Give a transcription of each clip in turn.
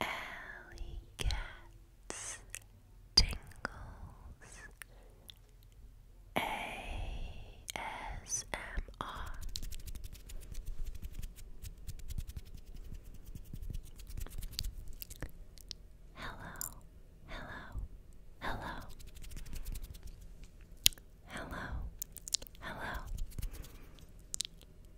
Alley cats tingles ASMR Hello, hello, hello, hello, hello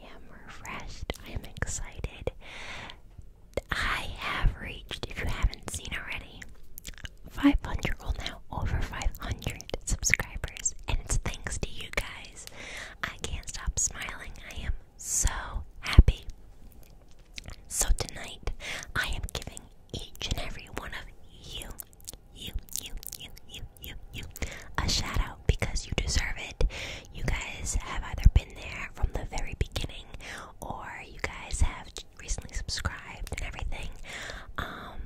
I am refreshed. I am excited. I have reached, if you haven't seen already, 500, well now over 500 subscribers, and it's thanks to you guys. I can't stop smiling. I am so happy. So tonight, I am giving each and every one of you, you, you, you, you, you, you a shout out because you deserve it. You guys have either been there from the very beginning or you guys have recently subscribed and everything. Um,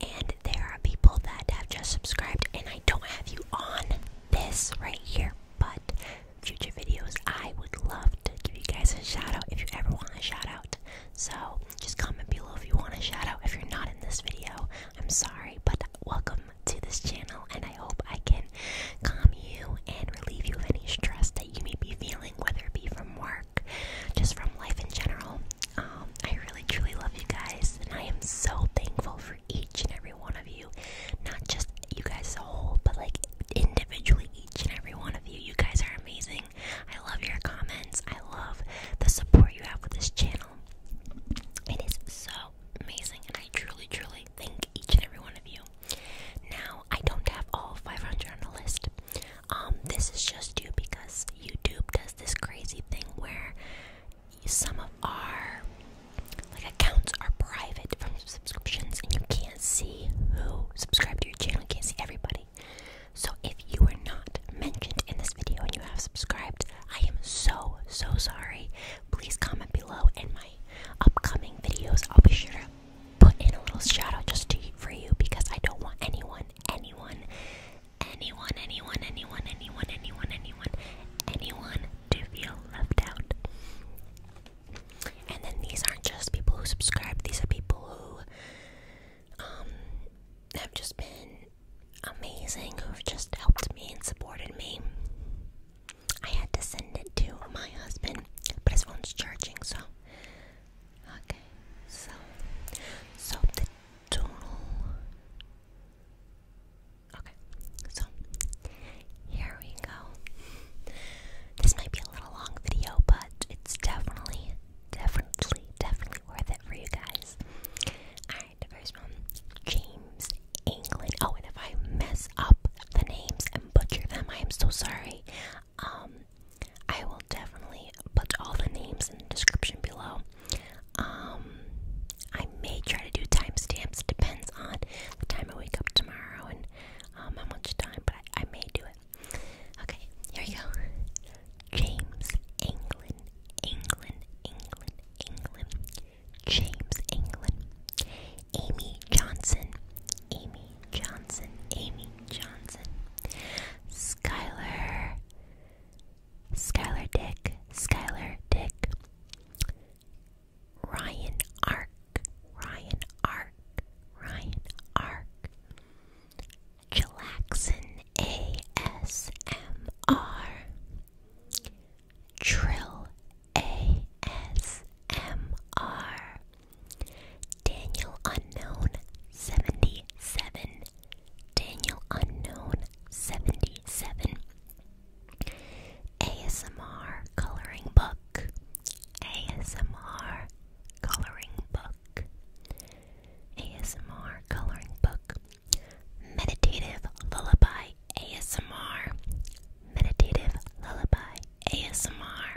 and there are people that have just subscribed, and I don't have you on this right here, but future videos, I would love to give you guys a shout out if you ever want a shout out. So just comment below if you want a shout out. If you're not in this video, I'm sorry, but welcome to this channel, and I hope I can calm you and relieve you of any stress that you may be feeling, whether it be from work, just from life in general. Um, I really truly love you guys, and I am so thankful for each and every one of you. Not just you guys as a whole, but like individually, each and every one of you. You guys are amazing. I love your comments. I love the support you have with this channel. It is so amazing, and I truly, truly thank each and every one of you. Now, I don't have all 500 on the list. Um, this is just you because YouTube does this crazy thing where some of our like accounts are private from subscriptions, and you can't see who subscribed to your channel. You can't see everybody. So if you were not mentioned in this video and you have subscribed, I am so so sorry please comment below in my upcoming videos. I'll be sure to put in a little shout out just to, for you because I don't want anyone, anyone, anyone, anyone, anyone, anyone, anyone, anyone, anyone to feel left out. And then these aren't just people who subscribe; these are people who um have just been amazing who've just helped me and supported me. I had to send it to my husband, but his phone's charging, so okay. So, so the total. Okay, so here we go. This might be a little long video, but it's definitely, definitely, definitely worth it for you guys first one, James England. Oh, and if I mess up the names and butcher them, I am so sorry. Um, I will definitely put all the names in the description below. Um, I may try to do timestamps. Depends on the time I wake up tomorrow and um, how much time, but I, may do it. Okay, here you go. James England, England, England, England. James England, Amy Johnson, Amy Johnson, Amy Johnson, Skylar, Skylar Dick, Skylar Dick, Ryan Ark, Ryan Ark, Ryan Ark, Chillaxon ASMR. Trill ASMR Daniel Unknown 77 Daniel Unknown 77 ASMR Coloring Book ASMR Coloring Book ASMR Coloring Book Meditative Lullaby ASMR. Meditative Lullaby ASMR.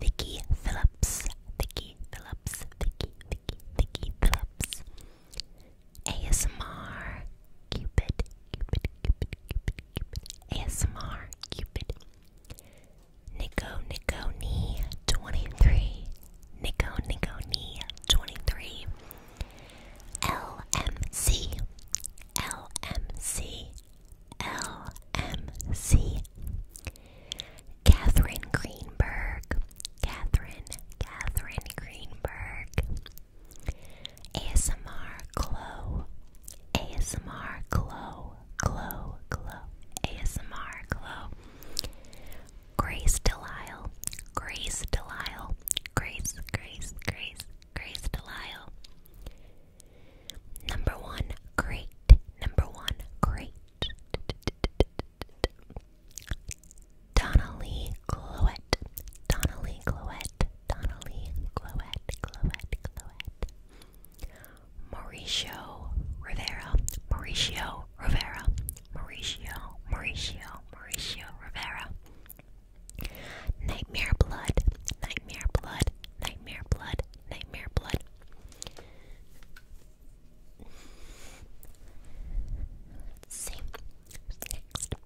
Vicky Phillips. Vicky Phillips. Vicky, Vicky, Vicky Phillips. ASMR. Cupid. Cupid, Cupid, Cupid, Cupid. ASMR. Cupid. Nico Nico Knee 23. Nico Nico Knee 23. L M C L M C L M C. LMC Catherine Greenberg Catherine Catherine Greenberg ASMR Glow ASMR Glow Glow Glow ASMR Glow Grace Delisle, Grace Delisle, Grace, Grace, Grace, Grace Delisle. Number one, great. Number one, great. Donnelly Glowett, Donnelly Glowett, Donnelly Glowett, Glowett, Glowett. Mauricio Rivera, Mauricio Rivera, Mauricio, Mauricio, Mauricio Rivera. Nightmare blood, nightmare blood, nightmare blood, nightmare blood. see next.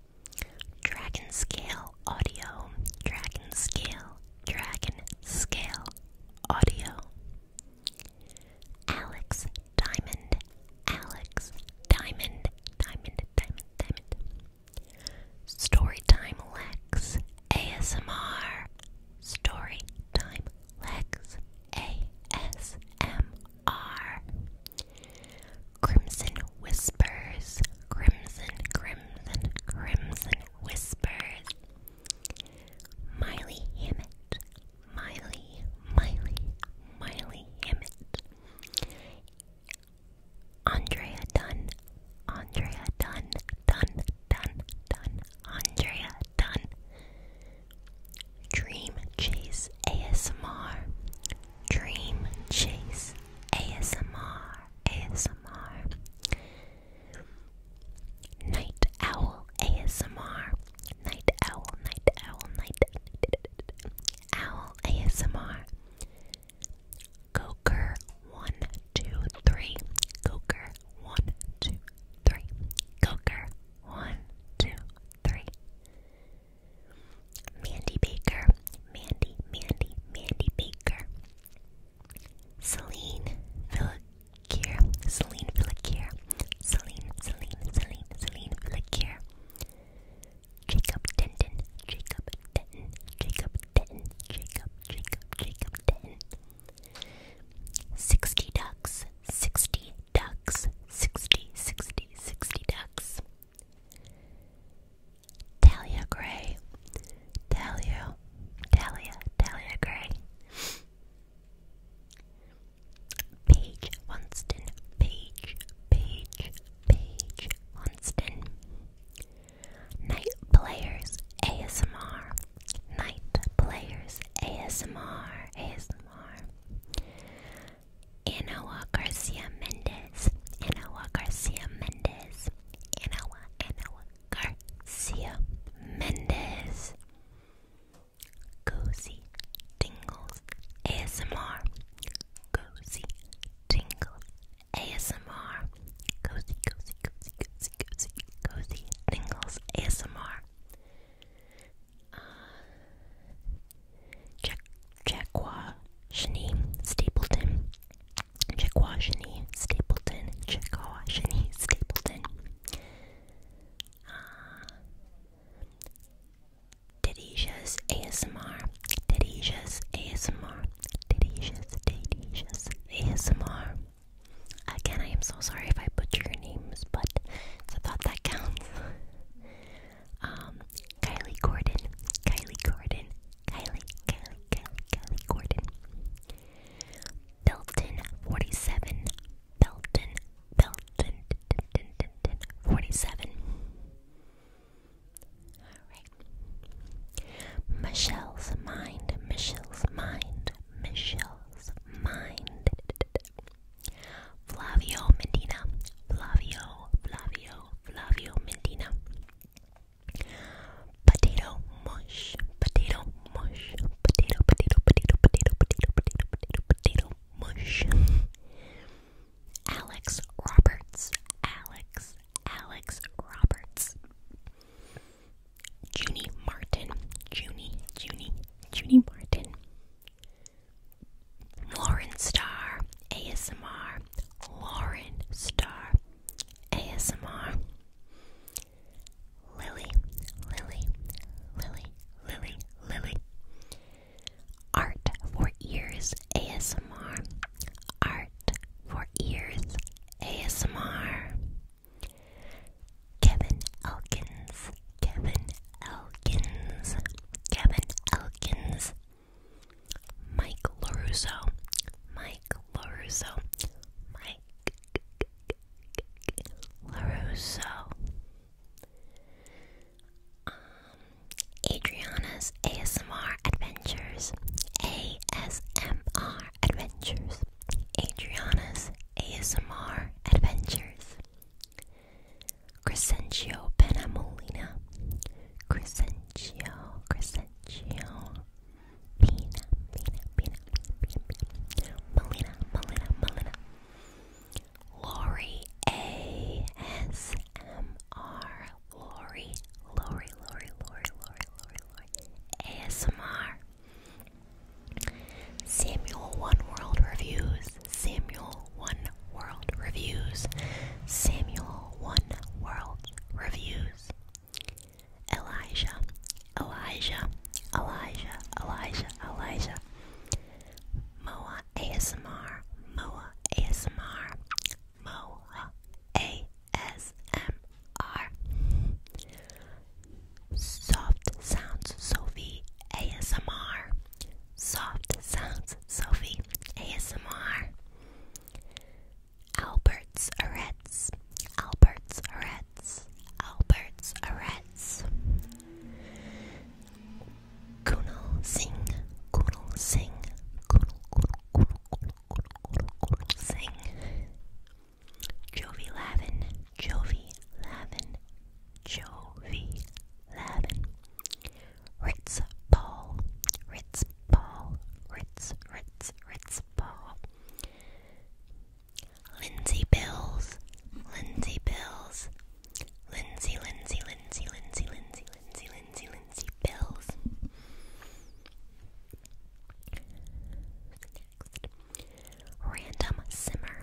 Dragon scale audio, dragon scale, dragon scale audio. Alex Diamond, Alex, Diamond, Diamond, Diamond, Diamond. Storytime Lex, ASMR. Storytime Lex, ASMR. Crimson Whispers, Crimson, Crimson, Crimson Whispers. Miley Hammett, Miley, Miley, Miley Hammett. Andrea Dunn, Andrea Dunn, Dunn, Dunn, Dunn, Andrea Dunn. Dream Chase ASMR, Dream Chase ASMR, ASMR. Night Owl ASMR, Night Owl, Night Owl, Night Owl ASMR. Goker one two three. Goker one two three. Goker one two three. Mandy Baker. Mandy, Mandy, Mandy Baker. Celine Villiquier. Celine Villiquier. Celine, Celine, Celine, Celine Villiquier. Jacob Denton, Jacob Denton, Jacob Denton, Jacob, Jacob, Jacob Denton. Sixty ducks, sixty ducks, sixty, sixty, sixty ducks. Talia Gray, Talia, Talia, Talia Gray. Page Winston, Page, Page, Paige Hunston. Night Players ASMR. Night Players ASMR. ASMR. Anawa Garcia Mendez. Anawa Garcia Mendez. Anawa, Anawa Garcia Mendez. Cozy Tingles ASMR cozy tingles ASMR. Cozy, cozy, cozy, cozy, cozy, cozy tingles ASMR. Jack Jackwa Shani Stapleton. Jackwa Shani Stapleton. Jackwa Shani Stapleton. Dadisha's ASMR, Dadisha's ASMR, Dadisha's, Dadisha's ASMR. Again, I am so sorry if I butcher your names, but I thought that counts. um, Kylie Gordon, Kylie Gordon, Kylie, Kylie, Kylie Gordon. Belton 47, Belton, Belton, 47. Michelle's mind, Michelle's mind, Michelle's mind. Flavio Medina, Flavio, Flavio, Flavio Medina. Potato mush, potato mush, potato, potato, potato, potato, potato, potato, potato, potato mush. Alex Roberts. Alex, Alex Roberts. Junie Martin. Junie, Junie, Junie Martin. Lauren Star. ASMR. Lauren Star. ASMR. Lily, Lily, Lily, Lily, Lily. Art for Ears ASMR. Art for Ears ASMR. Kevin Elkins. Kevin Elkins. Kevin Elkins. Mike LaRusso. Mike LaRusso. Mike LaRusso. Um, Adriana's ASMR Adventures. ASMR Adventures. Adriana's ASMR Adventures. Crescentio Penamolina. Crescentio, Crescentio. Pina, Pina, Pina, Pina, Pina, Pina. Melina, Melina, Lori ASMR. Lori, Lori, Lori, Lori, Lori, Lori, Lori. ASMR. Samuel One World Reviews. Samuel One World Reviews. Samuel One World Reviews. Elijah, Elijah, Elijah, Elijah, Elijah. Moa, ASMR, Moa ASMR, Moa ASMR. Soft Sounds Sophie ASMR. Soft Sounds Sophie ASMR. Albert's Arets, Albert's Arets, Albert's Arets. Kunal Singh, Kunal Singh, Kunal, Kunal, Kunal, Kunal, Kunal, Kunal, Kunal Singh, Jovi Lavin, Jovi Lavin, Jovi Lavin, Ritz Paul, Ritz Paul, Ritz, Ritz, Ritz Paul, Lindsay Bills, Lindsay Bills. Lindsay, Lindsay, Lindsay, Lindsay, Lindsay, Lindsay, Lindsay, Lindsay, Bills. Next. Random simmer.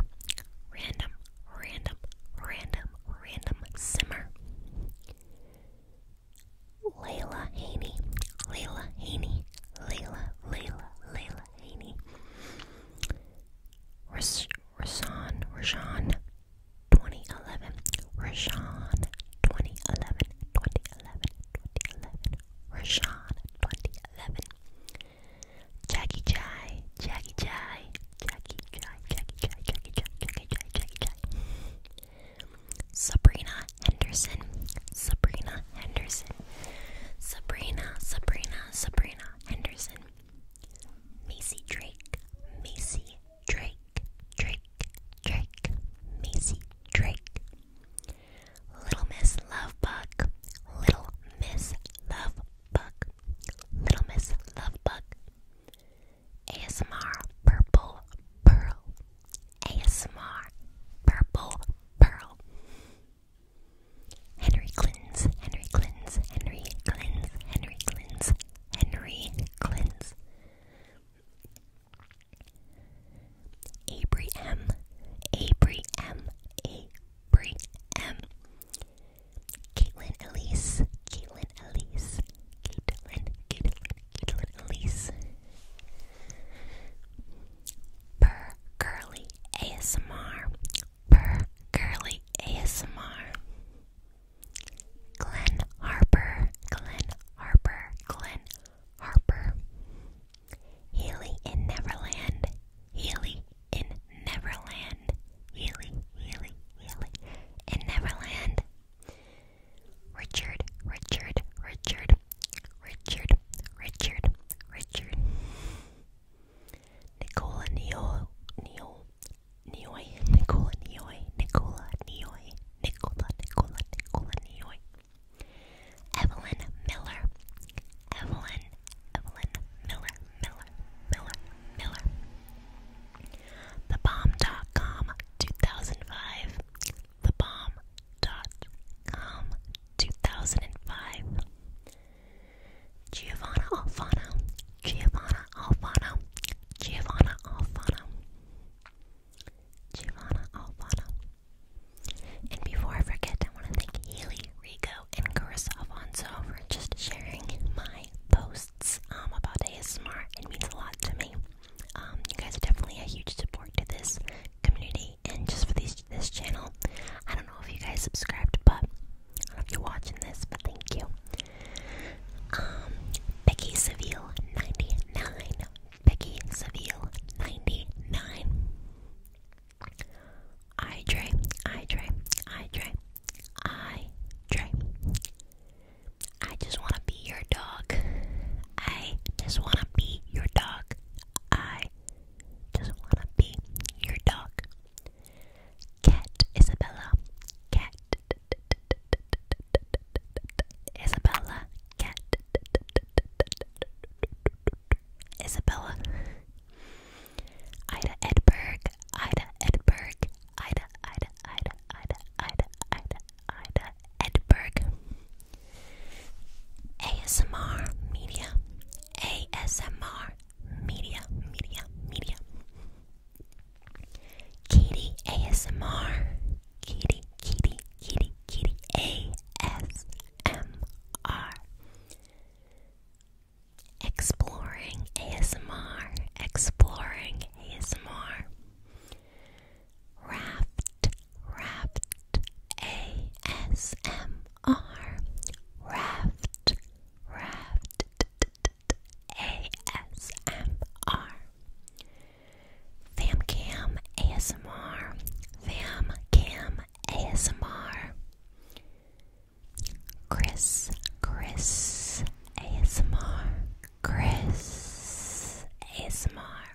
Random, random, random, random simmer. Layla Haney. Layla Haney. Layla, Layla, Layla Haney. Rasan, Rasan, 2011 Rashawn 2011 2011 2011 Rashawn 2011 Jackie Chai Jackie Chai Jackie Chai Jackie Chai Jackie Chai Jackie Chai Jackie Chai Sabrina Henderson Sabrina Henderson Sabrina Sabrina Sabrina Henderson Macy Drake Macy Drake Drake, Drake, Macy Drake. Little Miss Lovebug, Little Miss Lovebug, Little Miss Lovebug. ASMR Purple Pearl, ASMR Purple Pearl. Henry Clintons, Henry Clintons, Henry Clintons, Henry Clintons, Henry Clintz, Avery M, Avery M, Avery M, Caitlin Elise, Caitlin Elise, Caitlin, Caitlin, Caitlin Elise, Per Curly ASMR, Per Curly ASMR. Glenn Harper, Glenn Harper, Glenn Harper. Haley in Neverland, Haley in Neverland, Haley, Healy, Healy in Neverland. Richard, Richard, Richard, Richard, Richard, Richard. Nicola Neil, Neil, Nioi, Nicola, Nioi, Nicola, Nioi, Nicola, Nicola, Nicola, Nioi. Evelyn Miller, Evelyn, Evelyn Miller, Miller, Miller, Miller. TheBomb.com 2005. TheBomb.com 2005. Giovanna Alfano, Giovanna Alfano, Giovanna Alfano, Giovanna Alfano. And before I forget, I want to thank Haley, Rico, and Carissa Alfonso for just sharing my posts um, about smart. It means a lot to me. Um, you guys are definitely a huge support to this community and just for these, this channel. I don't know if you guys subscribed, but I don't know if you're watching this, but thank you. Um, Becky Seville 99. Becky Seville 99. I Dre, I Dre, I Dre, I Dre. I just wanna be your dog. I just wanna be your dog. I just wanna be your dog. Cat Isabella. Cat Isabella cat Isabella Ida Edberg Ida Edberg Ida Ida Ida Ida Ida Ida Ida Edberg ASMR Media ASMR Media Media Media Kitty ASMR. Kitty, kitty, kitty, kitty ASMR. Exploring ASMR. Exploring ASMR. Raft, raft, ASMR. Raft, raft, ASMR. Famcam ASMR. Famcam ASMR. Chris, Chris ASMR. Chris ASMR.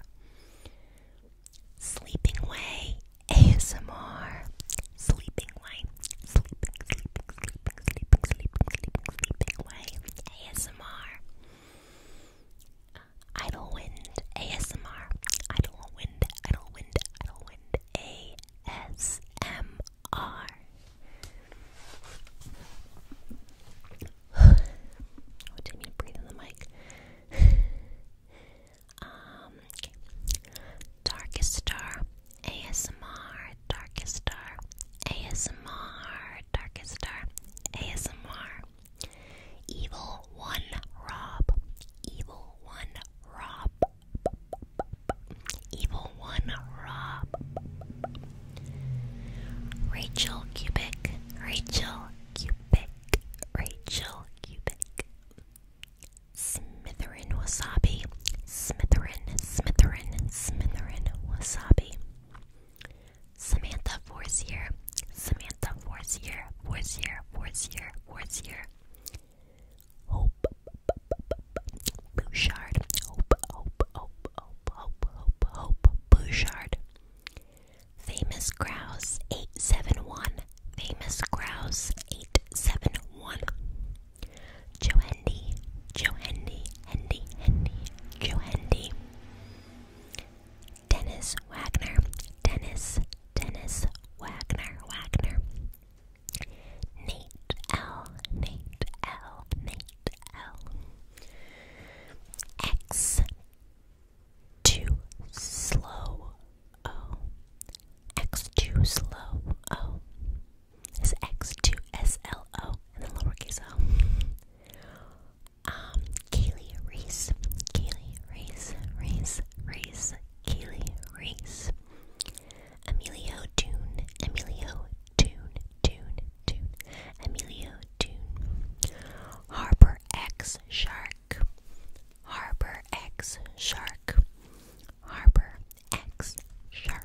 Sleeping Way ASMR. Sleeping Way. sleeping, sleeping, sleeping, sleeping, sleeping, away. ASMR. Idle wind. ASMR. Idle wind. Idle wind. Idle wind. ASMR. what do the mic? um Darkest Star ASMR Darkest Star ASMR Darkest Star ASMR Evil One Rob Evil One Rob Evil One Rob Rachel Cubic Rachel Cubic Rachel Cubic Smitherin Wasabi Smitherin Smitherin Smitherin Wasabi Samantha Forcier, Samantha Forcier, Forcier, Forcier, Forcier. Hope, Bouchard, Hope, Hope, Hope, Hope, Hope, Hope, Hope, Bouchard. Famous Grouse 871, Famous Grouse 871. Johandy, Johandy, Hendy, Hendy, Johandy. Dennis Wagner, Dennis, Dennis Wagner, Wagner. Nate L, Nate L, Nate L. X too slow. Oh, X too slow. Oh is X2SLO and then lowercase o. Um, Kaylee Reese, Kaylee Reese, Reese, Reese, Kaylee Reese. Emilio Dune, Emilio Dune, Dune, Dune, Emilio Dune. Harbor X Shark, Harbor X Shark, Harbor X Shark.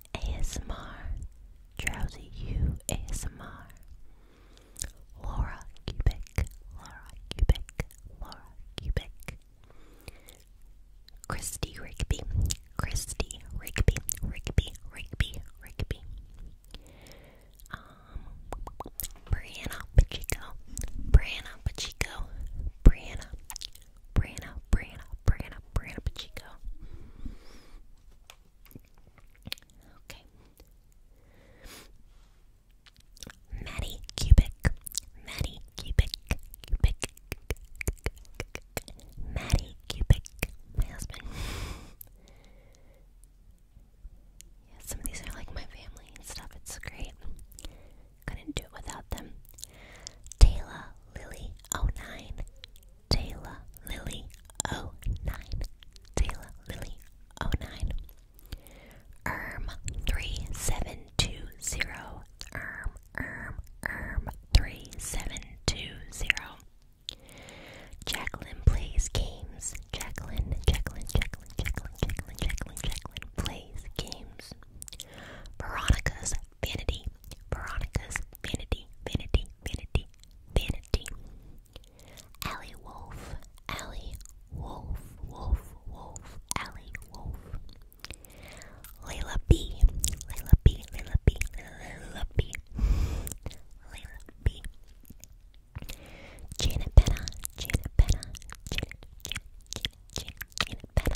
ASMR, Drowsy You ASMR, Laura Cubic, Laura Cubic, Laura Cubic, Christy Rigby, Christy Rigby, Rigby, Rigby, Rigby, um, Brianna Pacheco, Brianna Pacheco, Brianna, Brianna, Brianna, Brianna, Brianna Pacheco. Okay. Maddie Cubic. Maddie Cubic. Cubic. Maddie Cubic. My husband. yeah, some of these are like my family and stuff. It's great. Couldn't do it without them. Taylor Lily 09. Taylor Lily 09. Taylor Lily 09. Erm 3720. Erm, erm, erm 3720. Jacqueline plays games. Jacqueline, Jacqueline, Jacqueline, Jacqueline, Jacqueline, Jacqueline, Jacqueline plays games. Veronica's vanity. Veronica's vanity, vanity, vanity, vanity. Allie Wolf, Allie Wolf, Wolf, Wolf, Allie Wolf. Layla B, Layla B, Layla B, Layla B, Layla B. Janet Penna, Janet Penna, Janet, Janet, Janet, Janet, Janet Penna.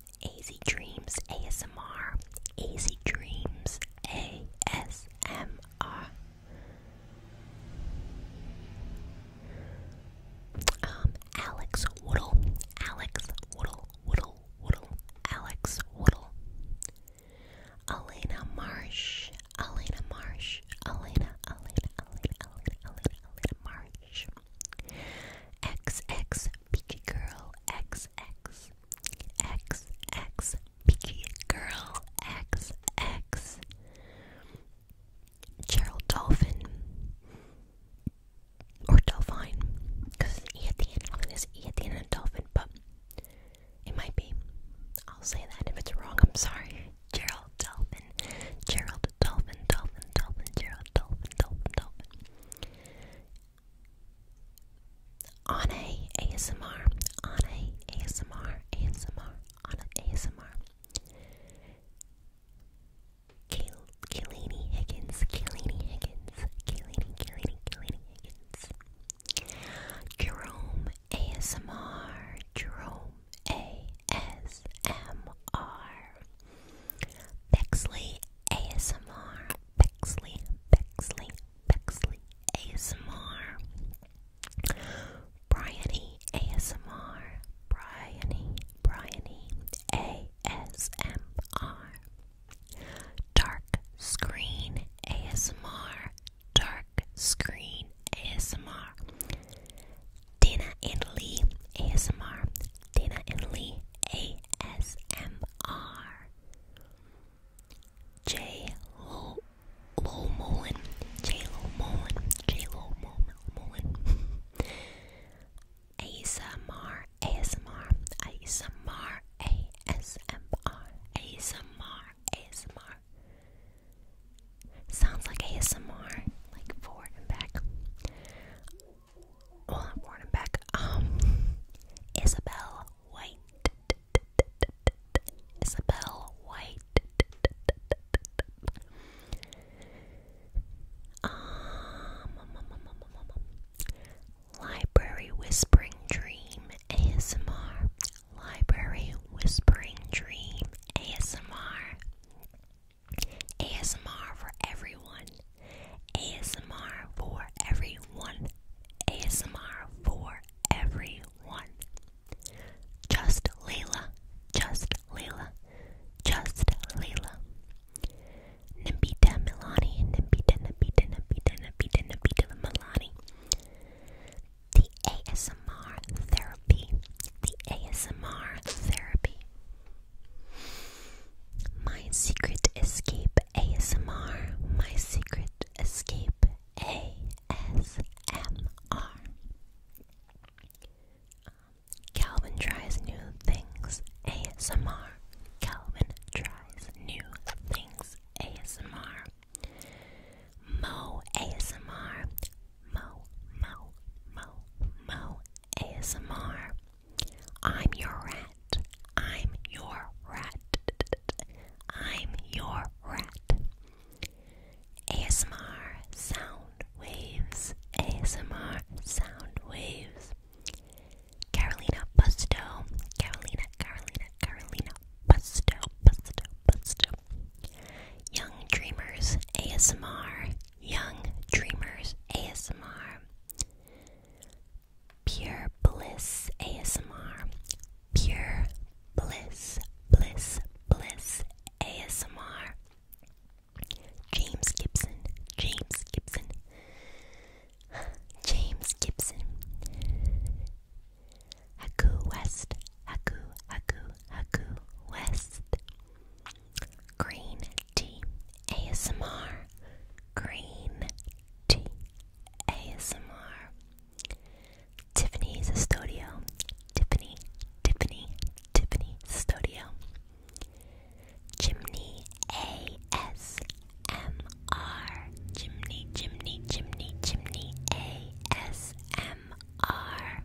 Easy Dreams ASMR. Easy Dreams ASMR. Um, Alex Woodle. Alex Woodle, Woodle, Woodle. Alex Woodle. Elena Marsh. Elena Marsh. Elena, Elena, Elena, Elena, Elena, Elena Marsh. XX Peachy Girl. XX X X Peaky Girl X X Gerald Dolphin or Delphine because it's an E at the end. I don't think there's an E at the end of Dolphin, but it might be. I'll say that if it's wrong. I'm sorry. Gerald Dolphin, Gerald Dolphin, Dolphin, Dolphin, Gerald Dolphin, Dolphin, Dolphin. Ane ASMR, Ane ASMR, ASMR, Ane ASMR. Kilini Higgins, Kilini Higgins, Kilini, Kilini, Kilini Higgins. Jerome ASMR, Jerome ASMR. Bexley ASMR, Bexley, Bexley, Bexley, ASMR, Bryony, ASMR, Bryony, Bryony, ASMR, Dark Screen, ASMR, Dark Screen, ASMR, Dana and Lee, ASMR, Dana and Lee, ASMR. J Lo Lo Mullen, J Lo Mullen, J Lo Mullen, ASMR, ASMR, ASMR, ASMR, ASMR, ASMR. Sounds like ASMR, like forward and back well, oh, I'm born back. Um, Isabel White. Isabel White. um. Library Whispering Dream ASMR. Library Whispering Dream ASMR. ASMR for everyone. ASMR for everyone. ASMR for everyone. Just Layla. Just Layla. Just Layla. Nambita Milani. Nambita, Nambita, Nambita, Nambita, Nambita Milani. The ASMR therapy. The ASMR therapy. My Secret Escape ASMR. My Secret Escape ASMR. Calvin tries new things. ASMR. Calvin tries new things. ASMR. Mo ASMR. Mo, Mo, Mo, Mo ASMR. I'm your rat. I'm your rat. I'm your rat. ASMR sound waves. ASMR sound waves. Carolina Busto. Carolina, Carolina, Carolina Busto. Busto, Busto. Young Dreamers ASMR. Young Dreamers ASMR. Pure Bliss ASMR. Pure Bliss, Bliss, Bliss ASMR. James Gibson, James Gibson, James Gibson. Haku West, Haku, Haku, Haku West. Green Tea ASMR. Green Tea ASMR. Tiffany's Studio. Tiffany, Tiffany, Tiffany Studio. Chimney ASMR. Chimney, Chimney, Chimney, Chimney ASMR.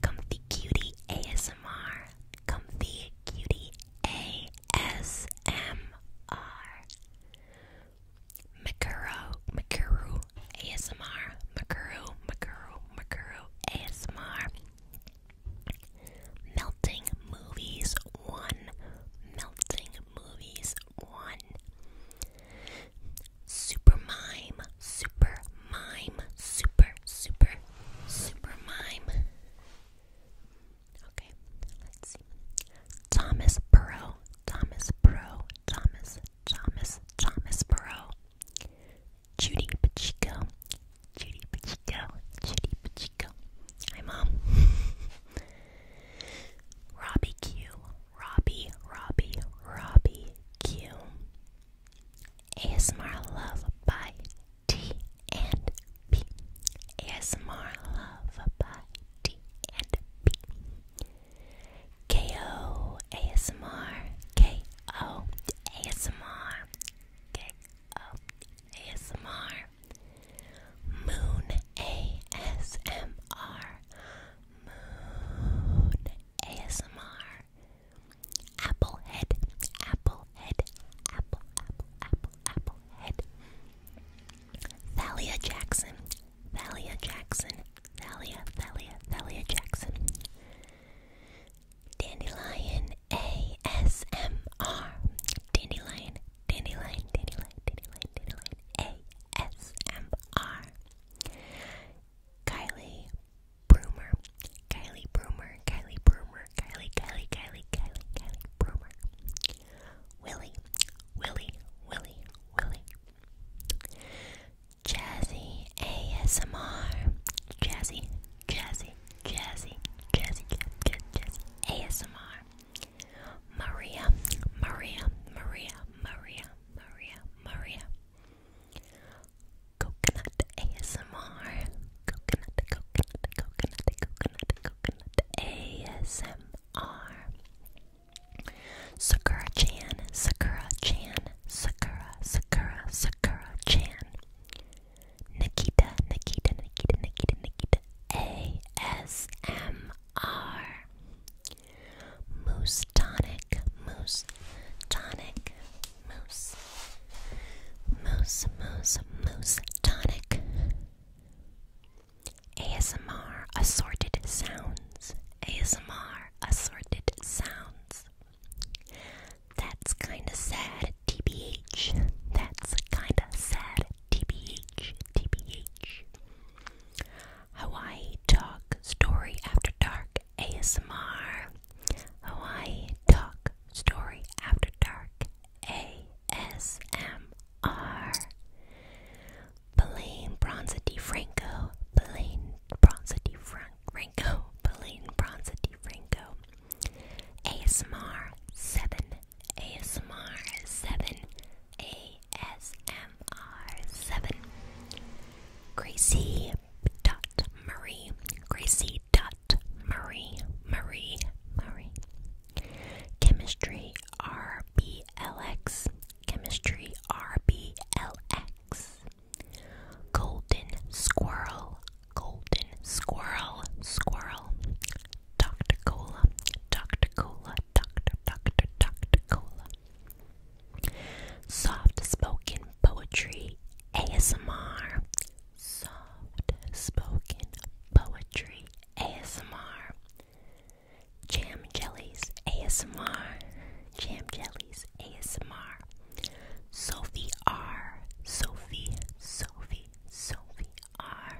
Comfy Cutie ASMR. Comfy Cutie ASMR. Makuru, Makuru, ASMR. Makuru, Makuru, Makuru, ASMR. Melting Movies 1. Melting Movies 1. Super Mime, Super Mime, Super, Super, Super Mime. Okay, see. Thomas Burrow, Thomas Burrow, Thomas, Thomas, Thomas Burrow. Judy Pacheco, Judy Pacheco, Judy Pacheco. Hi, Mom. Robbie Q, Robbie, Robbie, Robbie Q. ASMR Love by T and P ASMR Love by T and P ASMR KO ASMR KO ASMR Moon ASMR Moon ASMR Applehead Applehead Apple Apple Apple Applehead, Thalia Jackson, Thalia Jackson, Thalia, Thalia, Thalia Jackson, Dandelion ASMR, Dandelion, Dandelion, Dandelion, Dandelion, Dandelion ASMR, Kylie Broomer, Kylie Broomer, Kylie Broomer, Bromer, Kylie, Kylie, Kylie, Kylie, Kylie, Bromer, Willie, Willie, Willie, Willie, Jazzy ASMR, Jazzy, Jazzy, Jazzy, Jazzy, Jazzy, Jazzy ASMR, Maria, Maria, Maria, Maria, Maria, Maria. Coconut ASMR. Coconut, coconut, coconut, coconut, coconut, ASMR. Sakura Chan, Sakura Chan, Sakura, Sakura, Sakura Chan. Nikita, Nikita, Nikita, Nikita, Nikita. ASMR. Moose Tonic, Moose Tonic, Moose. Moose, Moose, Moose Tonic. ASMR Assorted Sounds. ASMR Assorted Sounds. That's kinda sad, TBH. That's kinda sad, TBH, TBH. Hawaii Talk Story After Dark ASMR. Hawaii Talk Story After Dark ASMR. Belaine Bronza DiFranco, Belaine Bronza DiFranco, Belaine Bronza DiFranco. ASMR 7, ASMR 7, ASMR 7. Gracie dot Marie, Gracie dot Marie, Marie, Marie. Chemistry RBLX, Chemistry RBLX. Golden Squirrel, Golden Squirrel, Squirrel. Dr. Cola, Dr. Cola, Dr. Dr. Dr. Cola. Soft Spoken Poetry ASMR. Soft Spoken Poetry ASMR. Jam Jellies ASMR. Jam Jellies ASMR. Sophie R. Sophie, Sophie, Sophie R.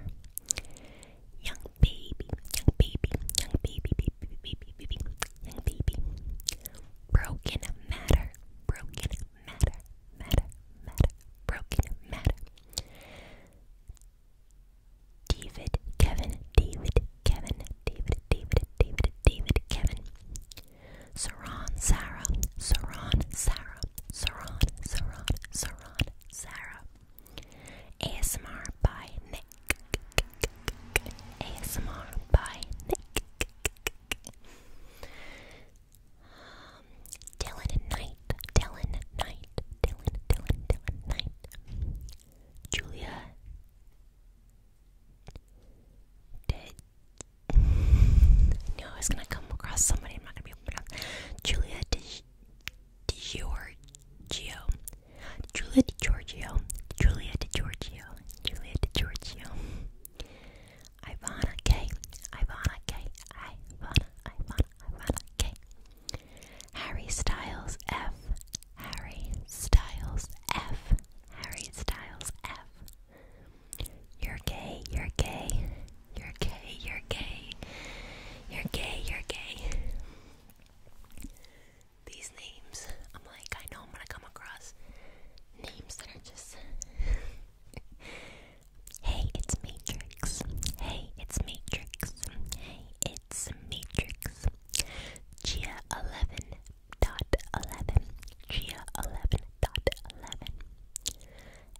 Young baby, young baby, young baby, baby, baby, baby, young baby. Broken matter, broken matter, matter, matter, broken matter. David, Kevin, David, Kevin, David, David, David, David, Kevin. Saran, Sarah, Saran, Sarah, Saran, Saran, Saran, Sarah. ASMR by Nick. ASMR by Nick um, Dylan Knight, Dylan Knight, Dylan, Dylan, Dylan Knight, Julia did. no, I was gonna come across somebody. I'm not gonna be able to pronounce Julia DiGiorgio, Julia DiGiorgio, Julia DiGiorgio, Julia DiGiorgio. Ivana K, Ivana K, Ivana, Ivana, fun, okay. Harry Styles F. Harry Styles F. Harry Styles F. You're gay, you're gay. You're gay, you're gay. You're gay, you're gay. These names, I'm like, I know I'm gonna come across names that are just Hey, it's Matrix. Hey, it's Matrix. Hey, it's Matrix. Gia eleven dot eleven. Gia eleven dot eleven.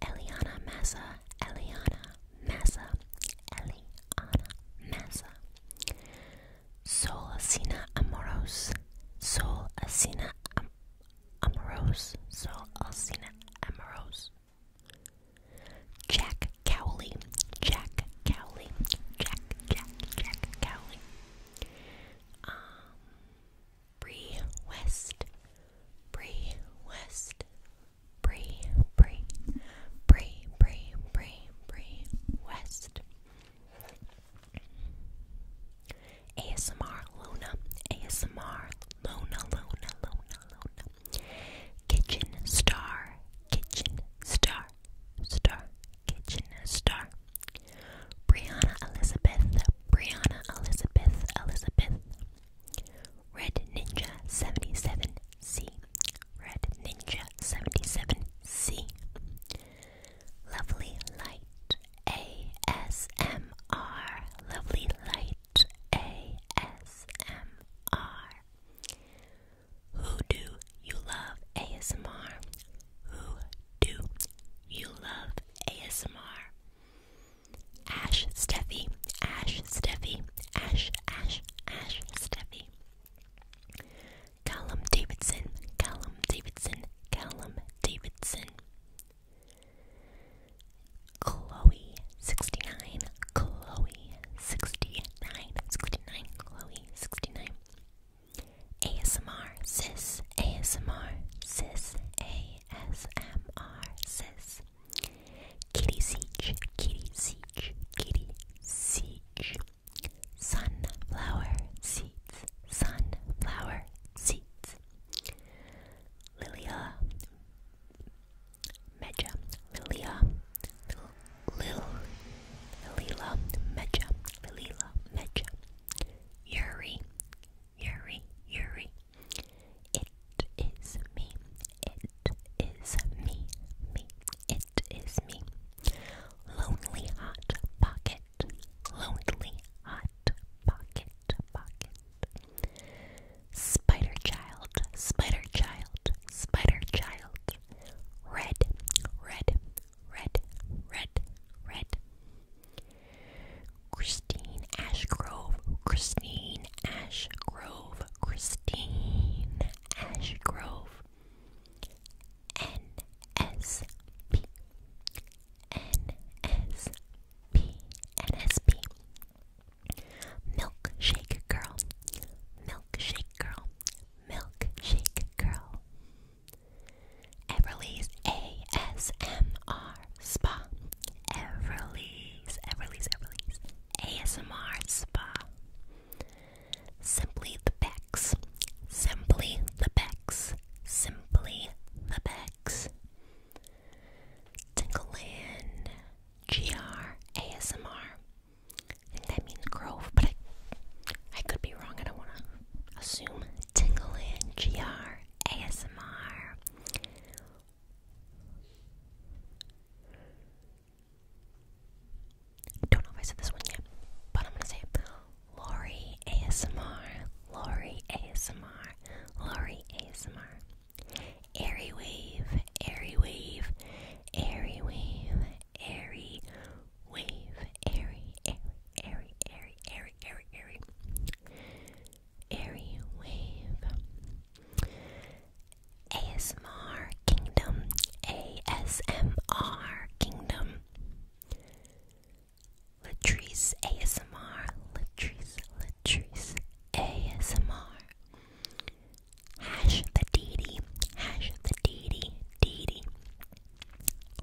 Eliana Massa. Eliana Massa. Eliana Massa. Sol Asina Amoros. Sol Asina Am Amoros. Sol Asina Amoros. Jack Cowley, Jack Cowley, Jack, Jack, Jack Cowley. Um, Bree West, Bree West, Bree, Bree, Bree, Bree, Bree, West. ASMR Luna, ASMR Luna, Luna, Luna, Luna. Kitchen star, kitchen star, star, kitchen star. Brianna Elizabeth, Brianna Elizabeth, Elizabeth. Red Ninja 77C, Red Ninja 77C. Lovely Light ASMR, Lovely Light ASMR. Who do you love ASMR? Who do you love ASMR? Ash Steffi, Ash Steffi, Ash, Ash, Ash Steffi. Callum Davidson, Callum Davidson, Callum Davidson. Chloe 69, Chloe 69, Chloe 69. ASMR, sis, ASMR, sis, ASMR, sis. Kitty Siege, Kitty Siege, Kitty Siege. Sunflower seeds, sunflower seeds. Lilia Meja, Lilia, Lil, Lila, Meja, Lilila, Meja, Yuri, Yuri, Yuri. It is me, it is me, me, it is me. Lonely Hot Pocket, Lonely Hot Pocket, Pocket. Spider Child, Spider Child, Spider Child. Red, red, red, red, red. Christine Ashgrove, Christine Ashgrove, Christine Ashgrove. NSP, NSP, NSP, Milkshake girl, milkshake girl, milkshake girl. Everly's ASMR spa. Everly's, Everly's, Everly's ASMR spa. Simply the Becks, simply the Becks, simply the Becks. Tinkleland, GR ASMR. I that means grove, but I could be wrong. I don't want to assume. Tingle in GR ASMR. Don't know if I said this one yet, but I'm gonna say it. ASMR, Lori ASMR, Lori ASMR. Airy wave, airy wave, airy wave, airy wave, airy, airy, airy, airy, airy, airy, airy, wave. ASMR Kingdom, ASMR Kingdom. Latrice ASMR, Latrice, Patrice ASMR. Hash the deity, hash the deity, deity.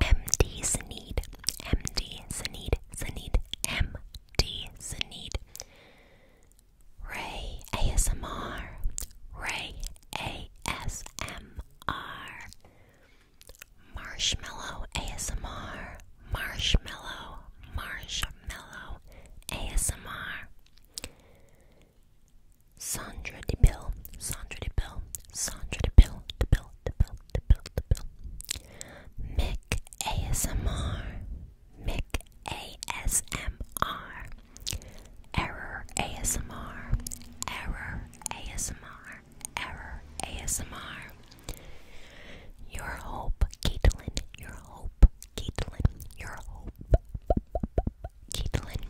MD Sanid, MD Sanid, Sanid, MD Sanid. Ray ASMR, Ray ASMR. Marshmallow ASMR, Marshmallow, Marshmallow ASMR. Sandra de Bill, Sandra de Bill, Sandra de Bill, de Bill, de Bill, de Bill, de Bill. Mick ASMR, Mick ASMR. Error ASMR, Error ASMR, Error ASMR. Your Hope, Caitlin, Your Hope, Caitlin, your hope. Caitlin,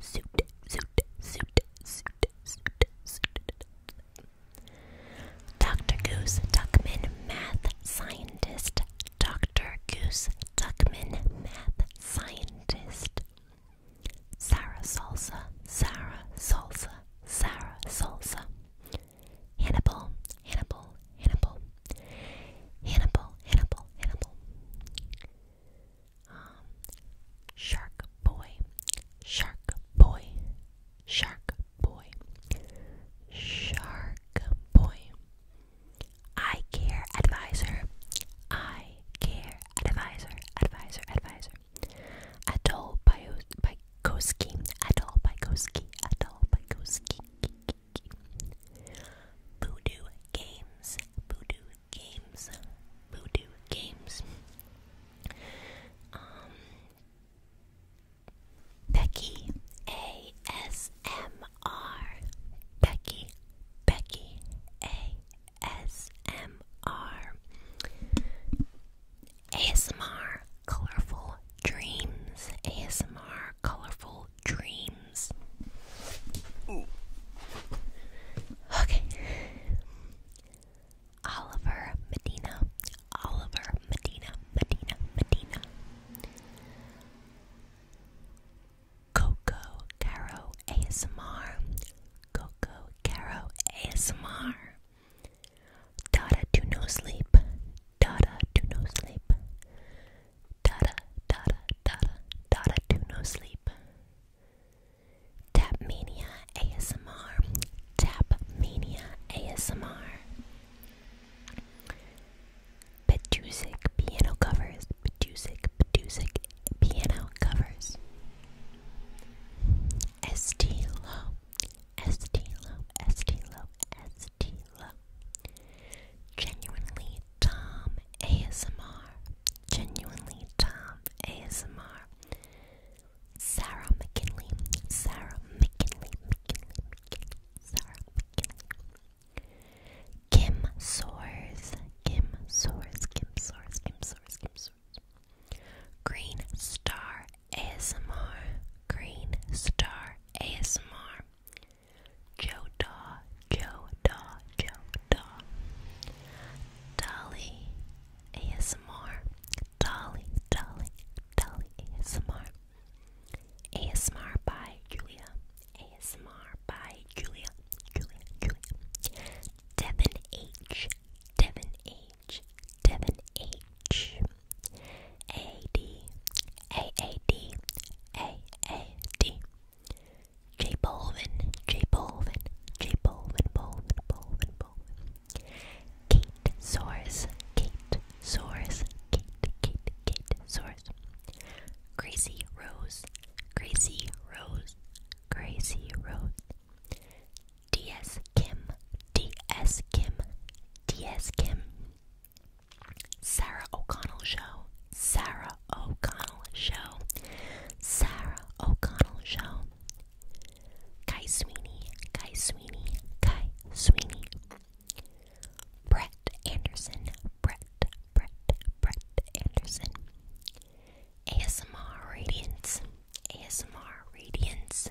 suit, suit, suit, suit, suit, suit. Dr. Goose Duckman, math scientist. Dr. Goose Duckman, math scientist. Sarah Salsa, Sarah Salsa, Sarah Salsa. Hannibal, Hannibal, Hannibal, Hannibal, Hannibal, Hannibal. Um, shark boy, shark boy, shark boy, shark boy. I care advisor, I care advisor, advisor, advisor. Adol Bykoski, Adol Bykoski, Adol Bykoski. Voodoo Games, Voodoo Games, Voodoo Games. Um, Becky ASMR, Becky, Becky ASMR, Colorful Dreams, ASMR Colorful dreams. Okay. Oliver Medina. Oliver Medina. Medina. Medina. Coco Caro ASMR. Coco Caro ASMR. Dada do no sleep. Dada do no sleep. Dada, dada, dada, dada do no sleep. Tapmania ASMR. Tapmania ASMR. Petusic piano covers. Petusic, Petusic piano covers. Estilo, Estilo, Estilo, Estilo. Genuinely Tom ASMR. Genuinely Tom ASMR. Sarah McKinley. Sarah McKinley. Sarah McKinley. Kim Soars. Kim Soars. Kim Soars. Kim Soars. Kim Soars. Green Star ASMR. Green Star ASMR. Joda, Joda, Joda. Dolly ASMR. Dolly, Dolly, Dolly ASMR. ASMR by Julia. ASMR by Julia, Julia. Devin H. Devin H. Devin H. A D A A D A A D J Bolvin J Bolvin J Bolvin Bolvin Bolvin Bolvin Kate Source Kate Source Kate Kate Kate Source Crazy Rose Crazy Rose Crazy Rose DS Kim DS Kim DS Kim Sarah O'Connell Show, Sarah O'Connell Show, Sarah O'Connell Show, Kai Sweeney, Kai Sweeney, Kai Sweeney, Brett Anderson, Brett, Brett, Brett Anderson, ASMR Radiance, ASMR Radiance,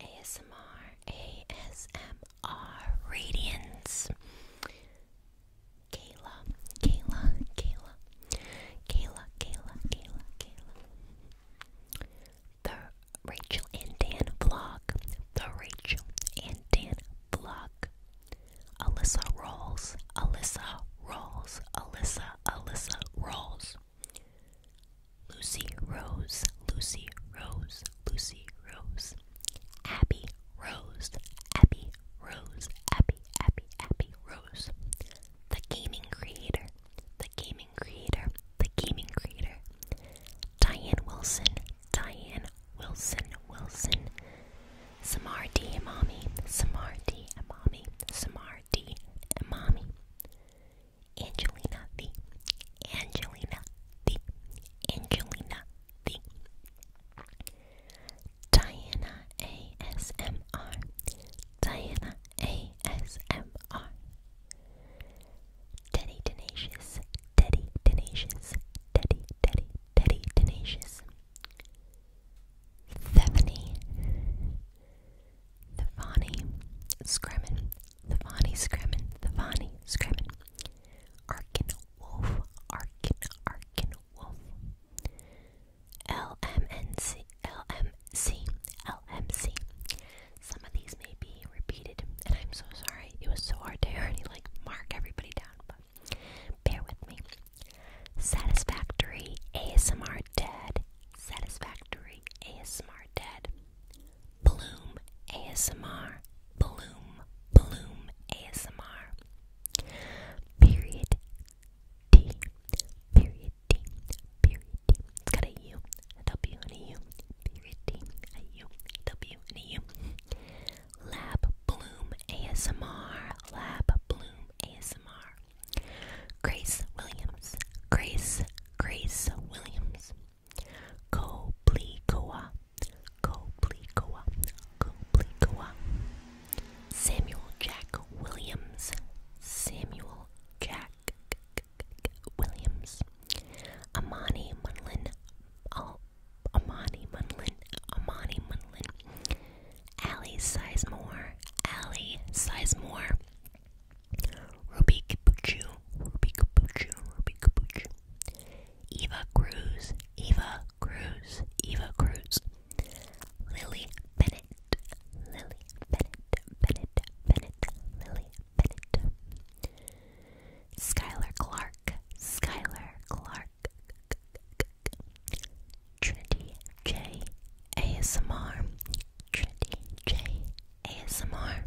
ASMR, ASMR are radiance. Kayla, Kayla, Kayla, Kayla, Kayla, Kayla, The Rachel and Dan vlog. The Rachel and Dan vlog. Alyssa rolls. Alyssa rolls. Alyssa, Alyssa rolls. Lucy Rose, Lucy Rose, Lucy Rose, Rose. Abby Rose. Abby Rose. Abby, Abby, Abby Rose. The gaming creator. The gaming creator. The gaming creator. Diane Wilson. Diane Wilson. Wilson. Samar D. Imami. Samar D. Imami. Samar D. Imami. Angelina the Angelina the Angelina the Diana ASMR Diana ASMR Teddy Tenacious Teddy Tenacious Teddy Teddy Teddy Tenacious Stephanie Thevani Scremin Thevani Scremin Thevani Scremin Arkin Wolf, Arkin, Arkin, Wolf. LMNC, Some of these may be repeated, and I'm so sorry. It was so hard to already like mark everybody down, but bear with me. Satisfactory ASMR dead. Satisfactory ASMR dead. Bloom ASMR. Bloom, Bloom ASMR. Period D. Period D. Period It's got a U, a W, Period D. A U, a W, Lab Bloom ASMR. Lab Bloom ASMR. Grace Williams. Grace, Grace Williams. Koblikowa, Koblikowa, Koblikowa. Samuel Jack Williams, Samuel Jack Williams. Amani Munlin, oh, Amani Munlin, Amani Munlin. Allie Sizemore, Allie Sizemore. Ruby Kapuchu, Ruby Kapuchu, Ruby Kapuchu. Eva Cruz, Eva Cruz, Eva Cruz, Lily Bennett, Lily Bennett, Bennett, Bennett, Lily Bennett, Skylar Clark, Skylar Clark, Trinity J ASMR, Trinity J ASMR,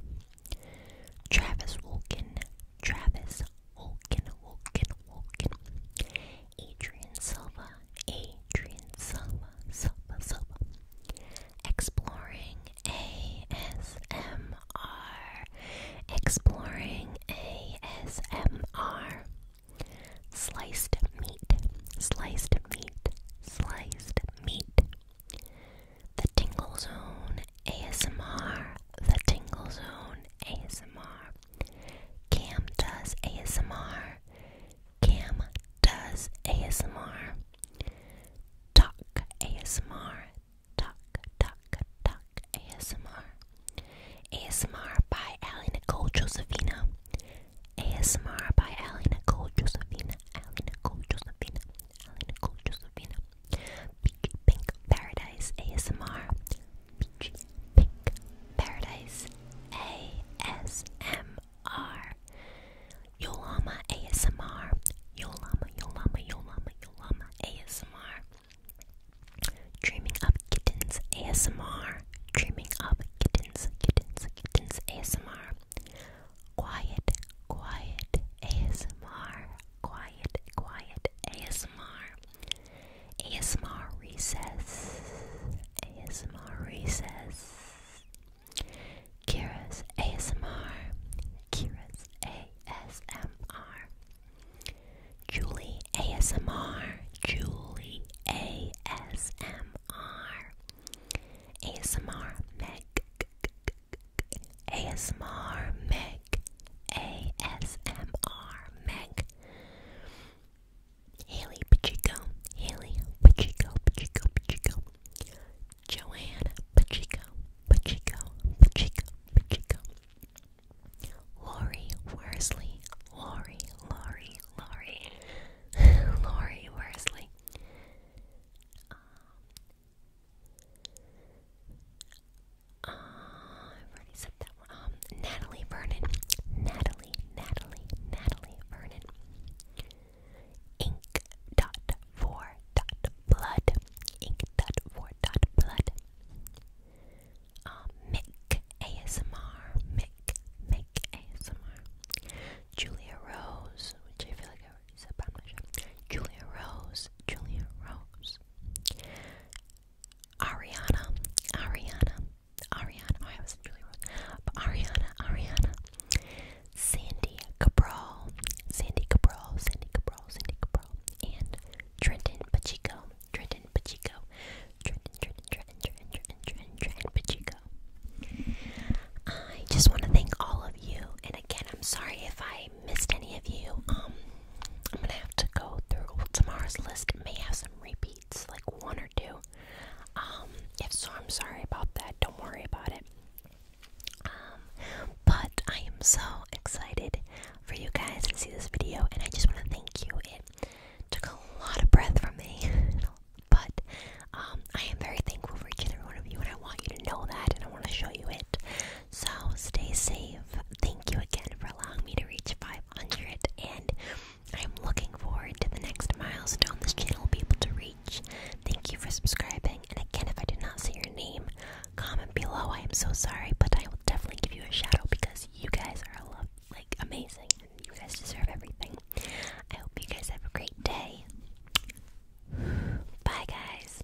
Travis Wilkin, Travis Holkin, Holkin, Holkin, Adrian Silva, Adrian Silva, Silva, Silva. Exploring ASMR, Exploring ASMR. Sliced meat, sliced meat, sliced meat. The Tingle Zone ASMR, The Tingle Zone ASMR, Cam Does ASMR, Cam Does ASMR, Talk ASMR, Talk, Talk, Talk ASMR, ASMR by Allie Nicole Josephina, ASMR by Allie Nicole Josephina, Allie Nicole Josephina, Allie Nicole Josephina. Peach Pink Paradise ASMR. Peach Pink Paradise ASMR. Yolama ASMR. Yolama, Yolama, Yolama, Yolama ASMR. Dreaming of Kittens ASMR. Dreaming of Kittens, Kittens, Kittens ASMR. Quiet, Quiet ASMR quiet, quiet ASMR. ASMR recess. ASMR recess. Kira's ASMR. Kira's ASMR. Julie ASMR. Julie ASMR. ASMR Meg. ASMR Meg. ASMR Meg. Haley Pacheco. Haley Pacheco. Pacheco. Pacheco. Joanne Pacheco. Pacheco. Pacheco. Pacheco. Lori Worsley. Lori. Lori. Lori. Lori Worsley. Uh, um, Natalie Vernon. Natalie, Natalie, Natalie Vernon. Ink dot four dot blood. Ink dot four dot blood. Uh, Mick ASMR. Mick, Mick ASMR. Julia Rose, which I feel like I already said about my show. Julia Rose, Julia Rose. Ariana, Ariana, Ariana. Oh, I was really wrong. But Ariana, Ariana. Sandy Cabral, Sandy Cabral, Sandy Cabral, Sandy Cabral, and Trenton Pachico, Trenton Pachico, Trenton, Trenton, Trenton, Trenton, Trenton, Trenton, Trenton Pachico. I just want to thank all of you, and again, I'm sorry if I missed any of you. Um, I'm gonna have to go through tomorrow's list. May have some repeats, like one or two. Um, if so, I'm sorry about that. Don't worry about it. Um, but I am so excited for you guys to see this video, and I just want to thank you. It took a lot of breath from me, but um, I am very thankful for each and every one of you, and I want you to know that, and I want to show you it. So stay safe. Thank you again for allowing me to reach 500, and I'm looking forward to the next milestone this channel will be able to reach. Thank you for subscribing, and again, if I did not see your name, comment below. I am so sorry, but I will definitely give you a shout out because you guys are love, like amazing, and you guys deserve everything. I hope you guys have a great day. Bye, guys.